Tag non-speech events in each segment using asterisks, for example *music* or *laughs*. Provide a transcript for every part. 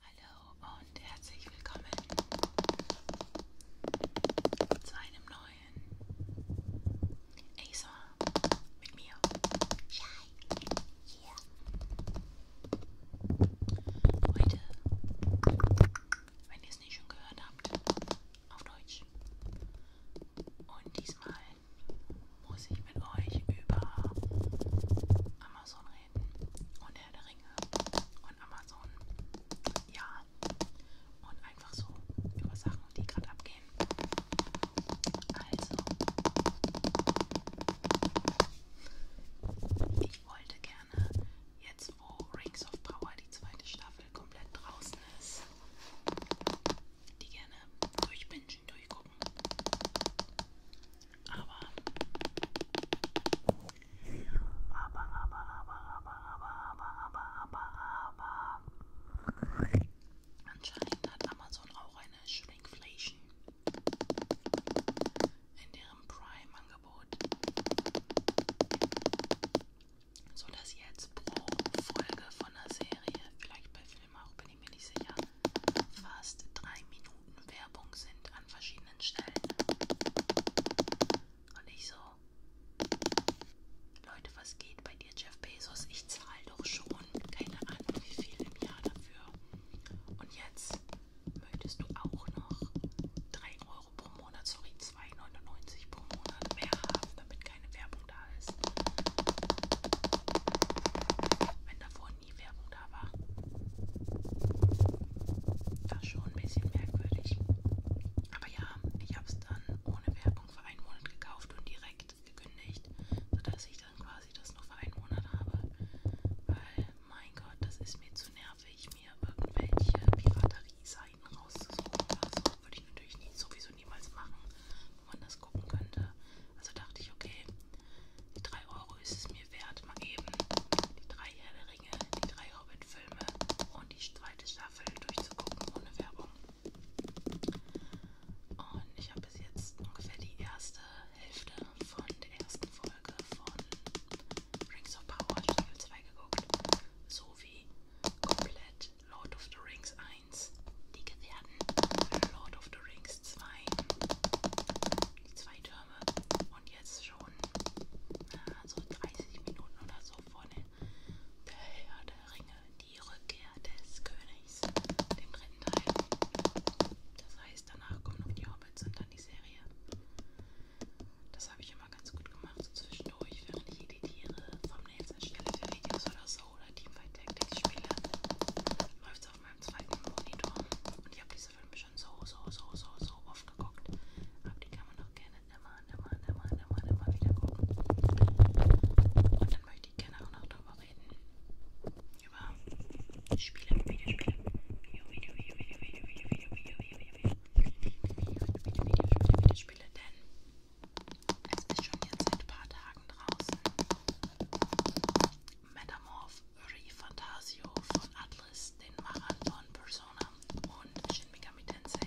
Hallo und herzlich willkommen zu einem neuen ASMR mit mir. Shai. Yeah. Heute, wenn ihr es nicht schon gehört habt, auf Deutsch. Und diesmal muss ich mit euch über Amazon Serien und Herr der Ringe und Amazon. Ja. Und einfach so über Sachen, die gerade abgehen. Also, ich wollte gerne, jetzt wo Rings of Power die zweite Staffel komplett draußen ist, die gerne durchbingen, durch gucken. Aber, aber, aber, aber, aber, aber, aber, aber, aber, aber, anscheinend hat Amazon auch eine Shrinkflation in deren Prime-Angebot, sodass jetzt pro Folge von der Serie, vielleicht bei Filmen auch, bin ich mir nicht sicher, fast drei Minuten Werbung sind an verschiedenen Stellen. Und ich so, Leute, was geht bei dir, Jeff Bezos? Ich zahle doch schon keine Ahnung, wie viel im Jahr dafür. Und jetzt möchtest du auch noch 3 Euro pro Monat, sorry, 2,99 pro Monat mehr haben, damit keine Werbung da ist. Wenn davon nie Werbung da war. War schon ein bisschen merkwürdig. Aber ja, ich habe es dann ohne Werbung für einen Monat gekauft und direkt gekündigt, sodass ich dann quasi das noch für einen Monat habe. Weil, mein Gott, das ist mir zu nervig, mir irgendwelche Piraterie-Seiten rauszusuchen oder so. Würde ich natürlich nie, sowieso niemals machen, wo man das gucken könnte. Also dachte ich, okay, die 3 Euro ist es mir wert, mal eben die drei Herr der Ringe, die drei Hobbit-Filme und die zweite Staffel durchzugucken ohne Werbung. Und ich habe bis jetzt ungefähr die erste Hälfte von der ersten Folge von Rings of Power Staffel 2 geguckt, sowie komplett Lord of the Rings 1, die Gefährten Lord of the Rings jeweils zwei, die zwei Türme und jetzt schon na, äh, so 30 Minuten oder so vor der, der Herr der Ringe, die Rückkehr des Königs, dem dritten Teil. Das heißt, danach kommen noch die Hobbits und dann die Serie. Das habe ich immer ganz gut gemacht, so zwischendurch, während ich editiere, Thumbnails erstelle für Videos oder so oder Teamfight Tactics spiele. Läuft es auf meinem zweiten Monitor und ich habe diese Filme schon so, so, so, so, so oft geguckt. Aber die kann man doch gerne immer, immer, immer, immer, immer wieder gucken. Und dann möchte ich gerne auch noch darüber reden. Über Spiele, Videospiele. Video, Video, Video, Video, Video, Video, Video, Video, Video, Video, Video, Video, Video, Videospiele, denn es ist schon jetzt seit ein paar Tagen draußen. Metamorph Uri Fantasio von Atlas, den Machern von Persona und Shin Megami Tensei.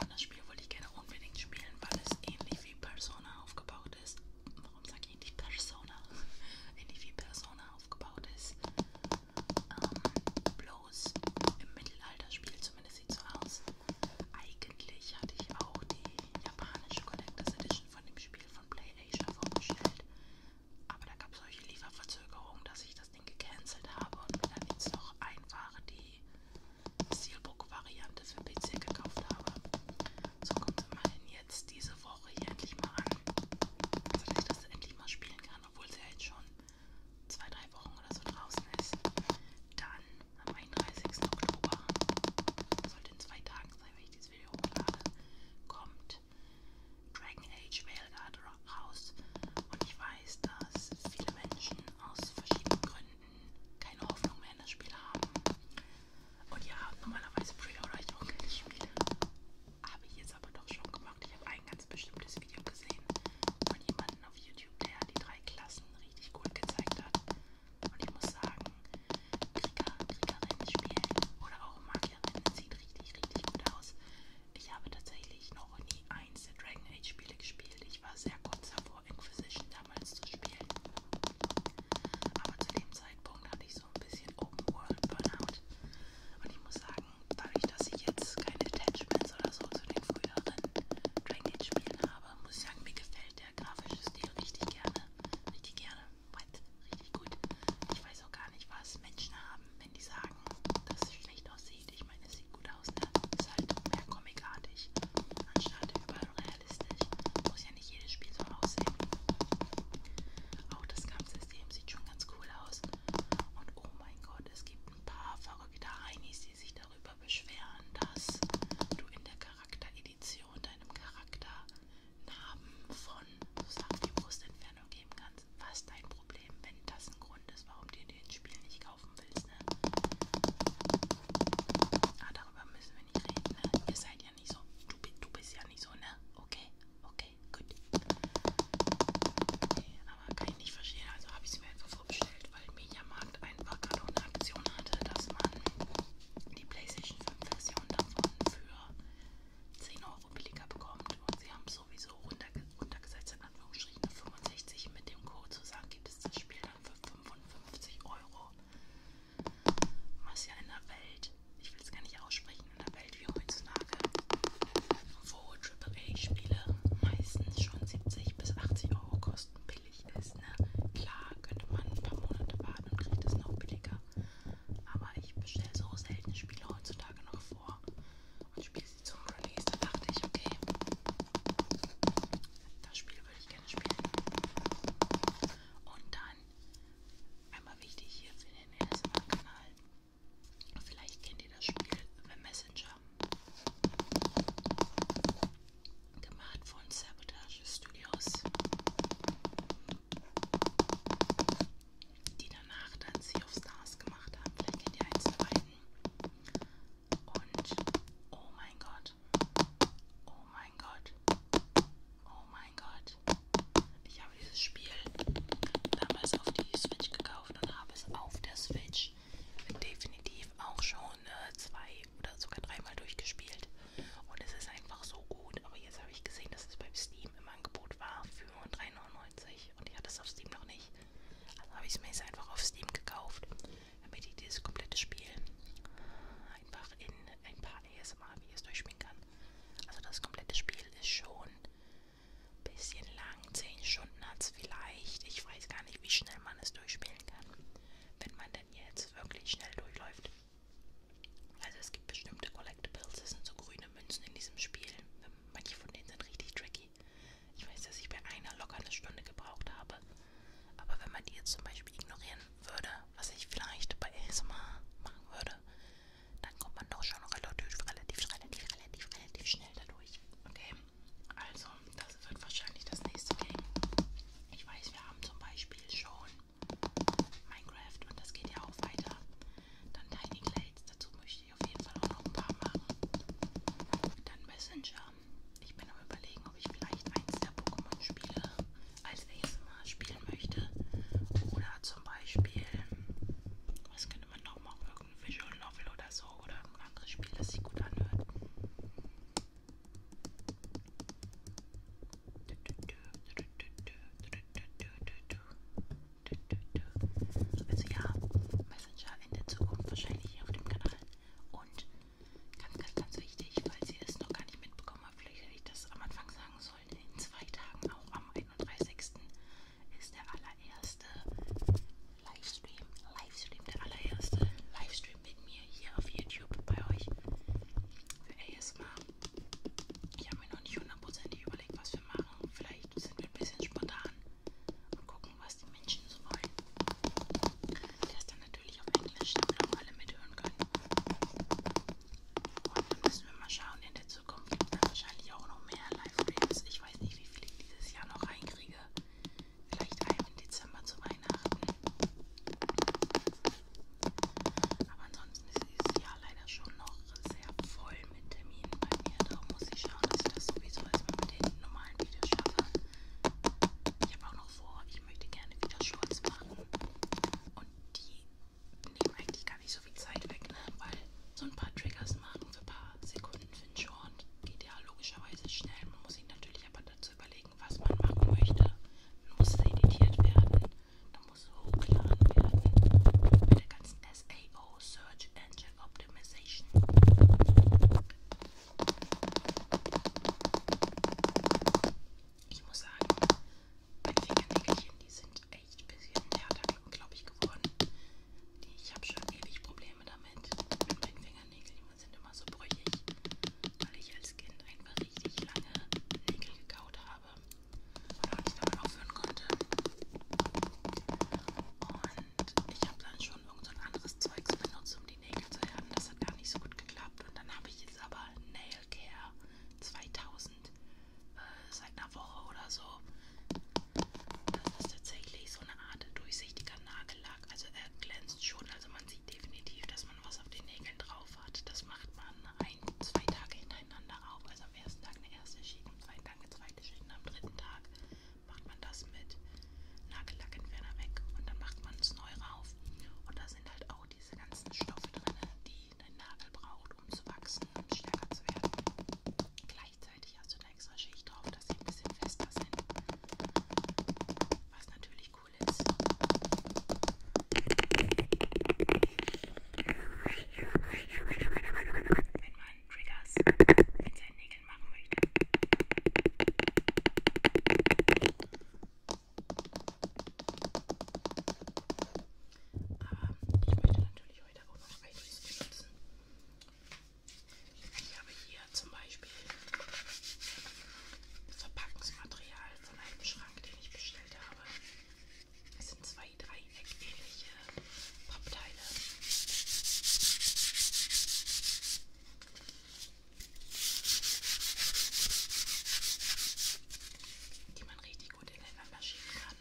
Und das Spiel wollte ich gerne unbedingt spielen, weil es ähnlich wie Persona aufgebaut ist. Warum sage ich nicht Persona? *laughs* ähnlich wie Persona aufgebaut ist. Ähm, bloß im Mittelalter spielt zumindest sieht so aus. Eigentlich hatte ich auch die die japanische Collectors Edition von dem Spiel von PlayAsia vorgestellt. Aber da gab es solche Lieferverzögerungen, dass ich das Ding gecancelt habe und mir dann jetzt noch einfach die Steelbook-Variante für PC gekauft habe. So kommt es immerhin jetzt diese Woche hier endlich mal an. Also dass ich das endlich mal spielen kann, obwohl es ja jetzt schon zwei, drei Wochen oder so draußen ist. Dann am 31. Oktober, sollte in zwei Tagen sein, wenn ich dieses Video hochlade, kommt Dragon Age Veilguard raus. Und ich weiß, dass viele Menschen aus verschiedenen Gründen keine Hoffnung mehr in das Spiel haben. Und ja, normalerweise pre-order ich auch keine Spiele. Habe ich jetzt aber doch schon gemacht. Ich habe ein ganz bestimmtes Video gesehen von jemandem auf YouTube, der die drei Klassen richtig gut gezeigt hat. Und ich muss sagen, Krieger, Kriegerinnen spielen oder auch Magierinnen sieht richtig, richtig gut aus. Ich habe tatsächlich noch nie eins der Dragon Age Spiele gespielt. Ich war sehr kurz davor, Inquisition damals zu spielen. Aber zu dem Zeitpunkt hatte ich so ein bisschen Open World Burnout. Und ich muss sagen, dadurch, dass ich jetzt keine Attachments oder so zu den früheren Dragon Age Spielen habe, muss ich sagen, mir gefällt der grafische Stil richtig gerne. Richtig gerne. Richtig gut. Ich weiß auch gar nicht, was Menschen haben, wenn die sagen, dass es schlecht aussieht. Ich meine, es sieht gut aus, ne? Ist halt mehr comicartig. Anstatt überrealistisch. Muss ja nicht jedes Spiel so aussehen. Auch das Kampfsystem sieht schon ganz cool aus. Und oh mein Gott, es gibt ein paar verrückte Heinis, die sich darüber beschweren, dass du in der Charakteredition deinem Charakter Namen von sozusagen die Brustentfernung geben kannst. Was dein Problem, wenn das ein Grund ist, warum du dir das Spiel nicht kaufen willst? Ne? Ah, darüber müssen wir nicht reden. Ne? Ihr seid ja nicht so. Du, du bist ja nicht so, ne? Okay, okay, gut. Okay, aber kann ich nicht verstehen, also habe ich es mir einfach vorgestellt weil Mediamarkt einfach gerade eine Aktion hatte, dass man die PlayStation 5 Version davon für 10 Euro billiger bekommt und sie haben sowieso runterge runtergesetzt in Anführungsstrichen 65 mit dem Code zu sagen, gibt es das Spiel dann für 55 Euro. Was ja in der Welt, ich will es gar nicht aussprechen, in der Welt wie heutzutage, wo AAA-Spiele meistens schon 70 bis 80 Euro kosten billig ist. Ne? Klar könnte man ein paar Monate warten und kriegt es noch billiger. Aber ich bestelle so selten Spiele heutzutage noch vor und spiele sie zum Release. Da dachte ich, okay, das Spiel würde ich gerne spielen. Und dann, einmal wichtig hier für den ASMR-Kanal, vielleicht kennt ihr das Spiel The Messenger. Gemacht von Sabotage Studios, die danach dann Sea of Stars gemacht haben. Vielleicht kennt ihr eins beiden. Und oh mein Gott, oh mein Gott, oh mein Gott. Ich habe dieses Spiel damals auf die Switch gekauft und habe es auf der Switch ich definitiv auch schon äh, zwei oder sogar dreimal durchgespielt. Und es ist einfach so gut. Aber jetzt habe ich gesehen, dass es beim Steam im Angebot war für 3,99 und ich hatte es auf Steam noch nicht. Also habe ich es mir jetzt einfach auf Steam gekauft, damit ich dieses komplette Spiel einfach in ein paar ASMR-Videos durchspielen kann. Also das komplette Spiel ist schon ein bisschen lang, 10 Stunden hat es vielleicht. Ich weiß gar nicht, wie schnell man es durchspielt empfehlen kann, wenn man denn jetzt wirklich schnell durchläuft. Also es gibt bestimmte Collectibles, das sind so grüne Münzen in diesem Spiel. Manche von denen sind richtig tricky. Ich weiß, dass ich bei einer locker eine Stunde gebraucht habe. Aber wenn man die jetzt zum Beispiel ignorieren würde, was ich vielleicht bei ASMR machen würde, dann kommt man doch schon relativ, relativ, relativ, relativ, relativ schnell dadurch. Okay. Also, das wird wahrscheinlich das nächste Game. Ich weiß, wir haben zum Beispiel schon Minecraft und das geht ja auch weiter. Dann Tiny Glades, dazu möchte ich auf jeden Fall auch noch ein paar machen. Dann Messenger. Ich bin am überlegen, ob ich vielleicht eins der Pokémon-Spiele als ASMR spielen möchte. Oder zum Beispiel, was könnte man noch machen? Visual Novel oder so oder ein anderes Spiel, das sich gut anhört. Also ja, Messenger in der Zukunft wahrscheinlich hier auf dem Kanal. Und ganz, ganz, ganz wichtig, falls ihr es noch gar nicht mitbekommen habt, vielleicht hätte ich das am Anfang sagen sollen, in zwei Tagen, auch am 31. ist der allererste Livestream, Livestream, der allererste Livestream mit mir hier auf YouTube bei euch für ASMR. Ich habe mir noch nicht hundertprozentig überlegt, was wir machen. Vielleicht sind wir ein bisschen spontan und gucken, was die Menschen so wollen. Der ist dann natürlich auf Englisch, damit auch alle mithören können. Und dann müssen wir mal schauen, in der Zukunft gibt es wahrscheinlich auch noch mehr Live-Streams. Ich weiß nicht, wie viel ich dieses Jahr noch reinkriege. Vielleicht einmal im Dezember zu Weihnachten. Aber ansonsten ist dieses Jahr leider schon noch sehr voll mit Terminen bei mir. Darum muss ich schauen, dass ich das sowieso erstmal mit den normalen Videos schaffe. Ich habe auch noch vor, ich möchte gerne wieder Shorts machen. Und die nehmen eigentlich gar nicht so viel Zeit weg, ne? weil so ein paar Triggers machen für ein paar Sekunden Finchhorn geht ja logischerweise schnell. Man muss sich natürlich aber dazu überlegen, was man machen möchte. Dann muss es editiert werden, dann muss es hochgeladen werden mit der ganzen SAO, Search Engine Optimization. Ich muss sagen, meine Fingernägelchen, die sind echt ein bisschen härter, glaube ich, geworden. Ich habe schon ewig Probleme damit. Meine Fingernägel sind immer so brüchig, weil ich als Kind einfach richtig lange Nägel gekaut habe und nicht damit aufhören konnte. Und ich habe dann schon irgendein so anderes Zeugs benutzt, um die Nägel zu härten. Das hat gar nicht so gut geklappt. Und dann habe ich jetzt aber Nail Care 2000 äh, seit einer Woche oder so das ist tatsächlich so eine Art durchsichtiger Nagellack. Also er glänzt schon. Also man sieht definitiv, dass man was auf den Nägeln drauf hat. Das macht man ein, zwei Tage hintereinander auf. Also am ersten Tag eine erste Schicht, am zweiten Tag eine zweite Schicht und am dritten Tag macht man das mit Nagellackentferner weg und dann macht man es neu rauf. Und da sind halt auch diese ganzen Stoffe drin, die dein Nagel braucht, um zu wachsen und stärker zu werden. Klar, gleichzeitig hast du eine extra Schicht drauf, dass sie ein bisschen fester sind. Was natürlich cool ist. Wenn man Triggers mit seinen Nägeln machen möchte. Aber ich möchte natürlich heute auch noch Eye benutzen. Ich habe hier zum Beispiel Verpackungsmaterial von einem Schrank, den ich bestellt habe. Es sind zwei dreieckähnliche Pappteile. Die man richtig gut ineinander schieben kann.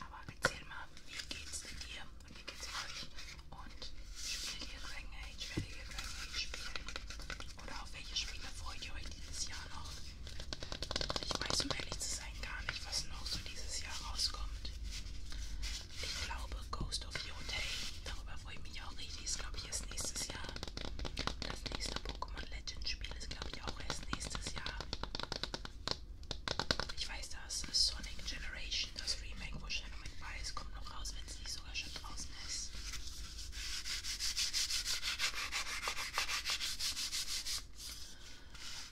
Aber erzähl mal, wie geht's denn dir und wie geht's euch? Und spielt ihr Dragon Age? Werdet ihr Dragon Age spielen? Oder auf welche Spiele freut ihr euch dieses Jahr noch? Ich weiß, um ehrlich zu sein, gar nicht, was noch so dieses Jahr rauskommt. Ich glaube, Ghost of Yotei, darüber freue ich mich auch richtig, ist glaube ich erst nächstes Jahr. Das nächste Pokémon Legend Spiel ist glaube ich auch erst nächstes Jahr. Ich weiß, dass Sonic Generation, das Remake, wo Shadow McBride ist, kommt noch raus, wenn es nicht sogar schon draußen ist.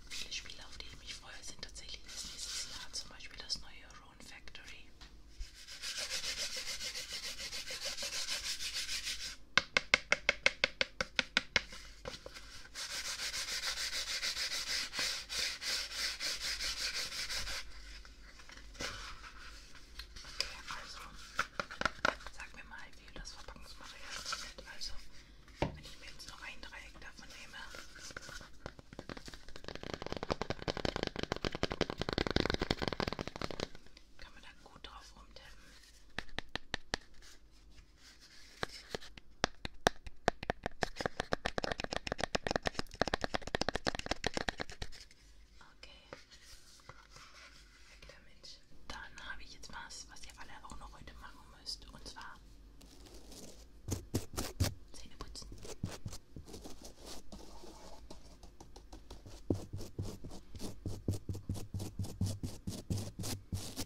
Viele Spiele, auf die ich mich freue, sind tatsächlich das nächstes Jahr, zum Beispiel das neue Rune Factory also sag mir mal, wie das Verpackungsmaterial funktioniert. Also, wenn ich mir jetzt noch ein Dreieck davon nehme. Kann man da gut drauf rumtippen? Okay. Lecker Mensch. Dann habe ich jetzt was, was ihr alle auch noch heute machen müsst. Und zwar Zähne putzen.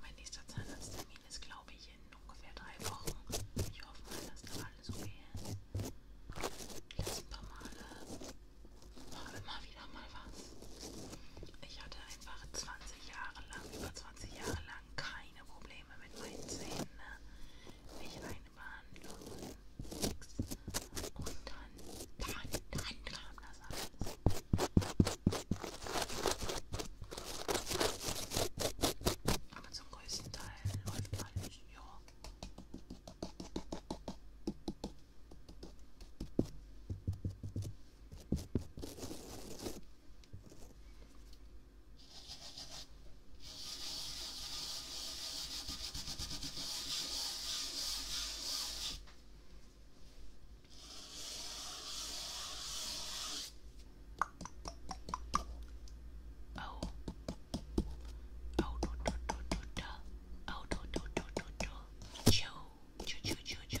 Mein nächster Zahnarzttermin ist, glaube ich, in ungefähr drei Wochen. Ich hoffe mal, dass da alles okay ist. Die letzten paar Male war immer wieder mal was. Ich hatte einfach 20 Jahre lang, über 20 Jahre lang keine Probleme mit meinen Zähnen. Ne? Nicht eine Behandlung, nix. Und dann, dann, dann kam das alles. Aber zum größten Teil läuft alles, ja. Oh. Oh do do do do do. Oh do do do do do. Choo choo choo choo choo.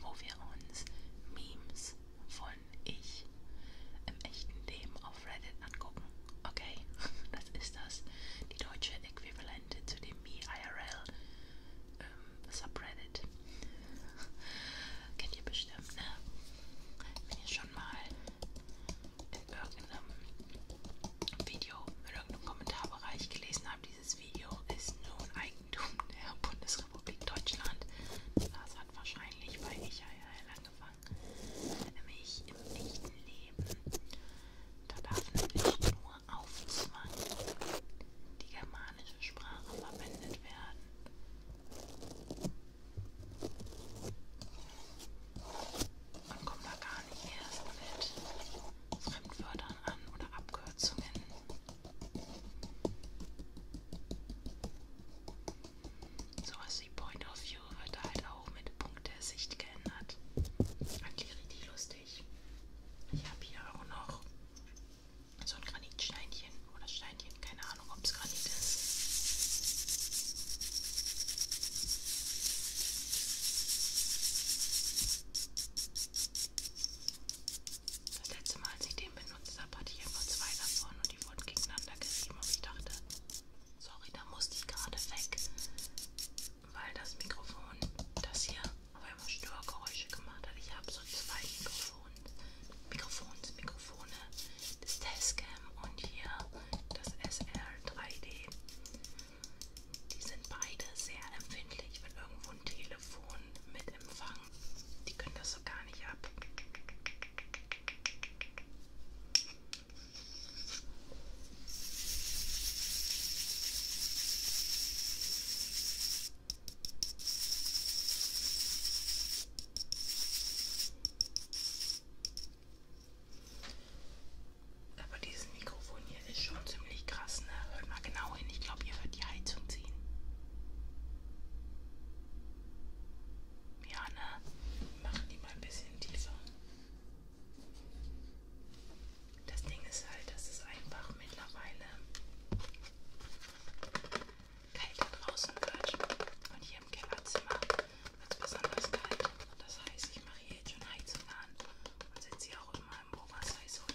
wo wir uns Memes von ich im echten Leben auf Reddit angucken. Okay, *laughs* das ist das, die deutsche Äquivalente zu dem MeIRL ähm, Subreddit. *laughs* Kennt ihr bestimmt, ne? Wenn ihr schon mal in irgendeinem Video, in irgendeinem Kommentarbereich gelesen habt, dieses Video ist nun eigentlich Eigentum der Bundesrepublik Deutschland. Das hat wahrscheinlich bei Michael angefangen. Nämlich im echten Leben. Da darf nämlich nur auf Zwang die germanische Sprache verwendet werden. Man kommt da gar nicht erst mit Fremdwörtern an oder Abkürzungen. Sowas also wie Point of View wird halt auch mit Punkt der Sicht geändert. Eigentlich richtig lustig. Ich habe hier auch noch so ein Granitsteinchen oder Steinchen, keine Ahnung, ob es Granit ist. Das letzte Mal, als ich den benutzt habe, hatte ich einfach zwei davon und die wurden gegeneinander gerieben und ich dachte, sorry, da musste ich gerade weg, weil das Mikrofon, das hier auf einmal Störgeräusche gemacht hat. Ich habe so zwei Mikrofone, Mikrofons, Mikrofone, das Tascam und hier das SR3D. Die sind beide sehr empfindlich, wenn irgendwo ein Telefon mit Empfang machen. Die können das so gar nicht ab. Aber dieses Mikrofon hier ist schon ziemlich krass, ne? Hört mal genau hin. Ich glaube, ihr hört die Heizung ziehen. Ja, ne? Machen die mal ein bisschen tiefer. Das Ding ist halt, dass es einfach mittlerweile kälter draußen wird. Und hier im Kellerzimmer wird es besonders kalt. Das heißt, ich mache hier jetzt schon Heizung an und setze hier auch immer im Oberseis rum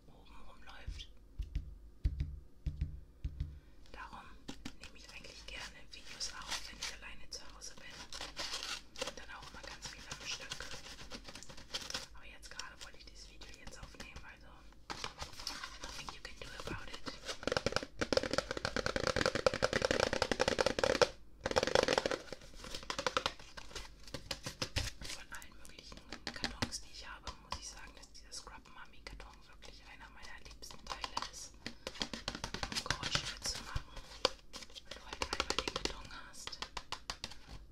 oben rumläuft. Darum nehme ich eigentlich gerne Videos auf, wenn ich alleine zu Hause bin. Und dann auch immer ganz viel am Stück. Aber jetzt gerade wollte ich dieses Video jetzt aufnehmen, also nothing you can do about it. Von allen möglichen Kartons, die ich habe, muss ich sagen, dass dieser Scrub Mummy Karton wirklich einer meiner liebsten Teile ist, um Geräusche zu machen, weil du halt einmal den Karton hast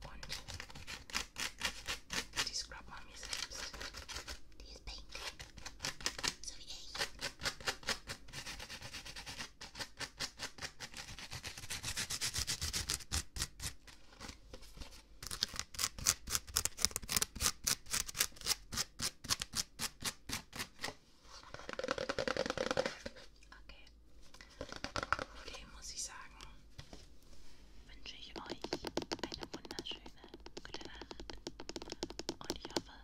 und die Scrub Mummy selbst, die ist pink, so wie ich. Okay, muss ich sagen, wünsche ich euch eine wunderschöne gute Nacht und ich hoffe,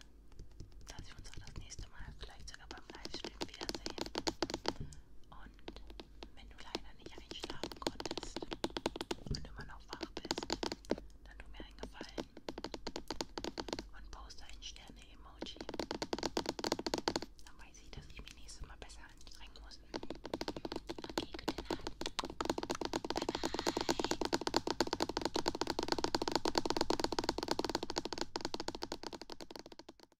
dass wir uns auch das nächste Mal vielleicht sogar beim Livestream wiedersehen. Und wenn du leider nicht einschlafen konntest und immer noch wach bist, dann tu mir einen Gefallen und poste ein Sterne-Emoji. Dann weiß ich, dass ich mich nächstes Mal besser anstrengen muss. Okay, gute Nacht. Bye bye.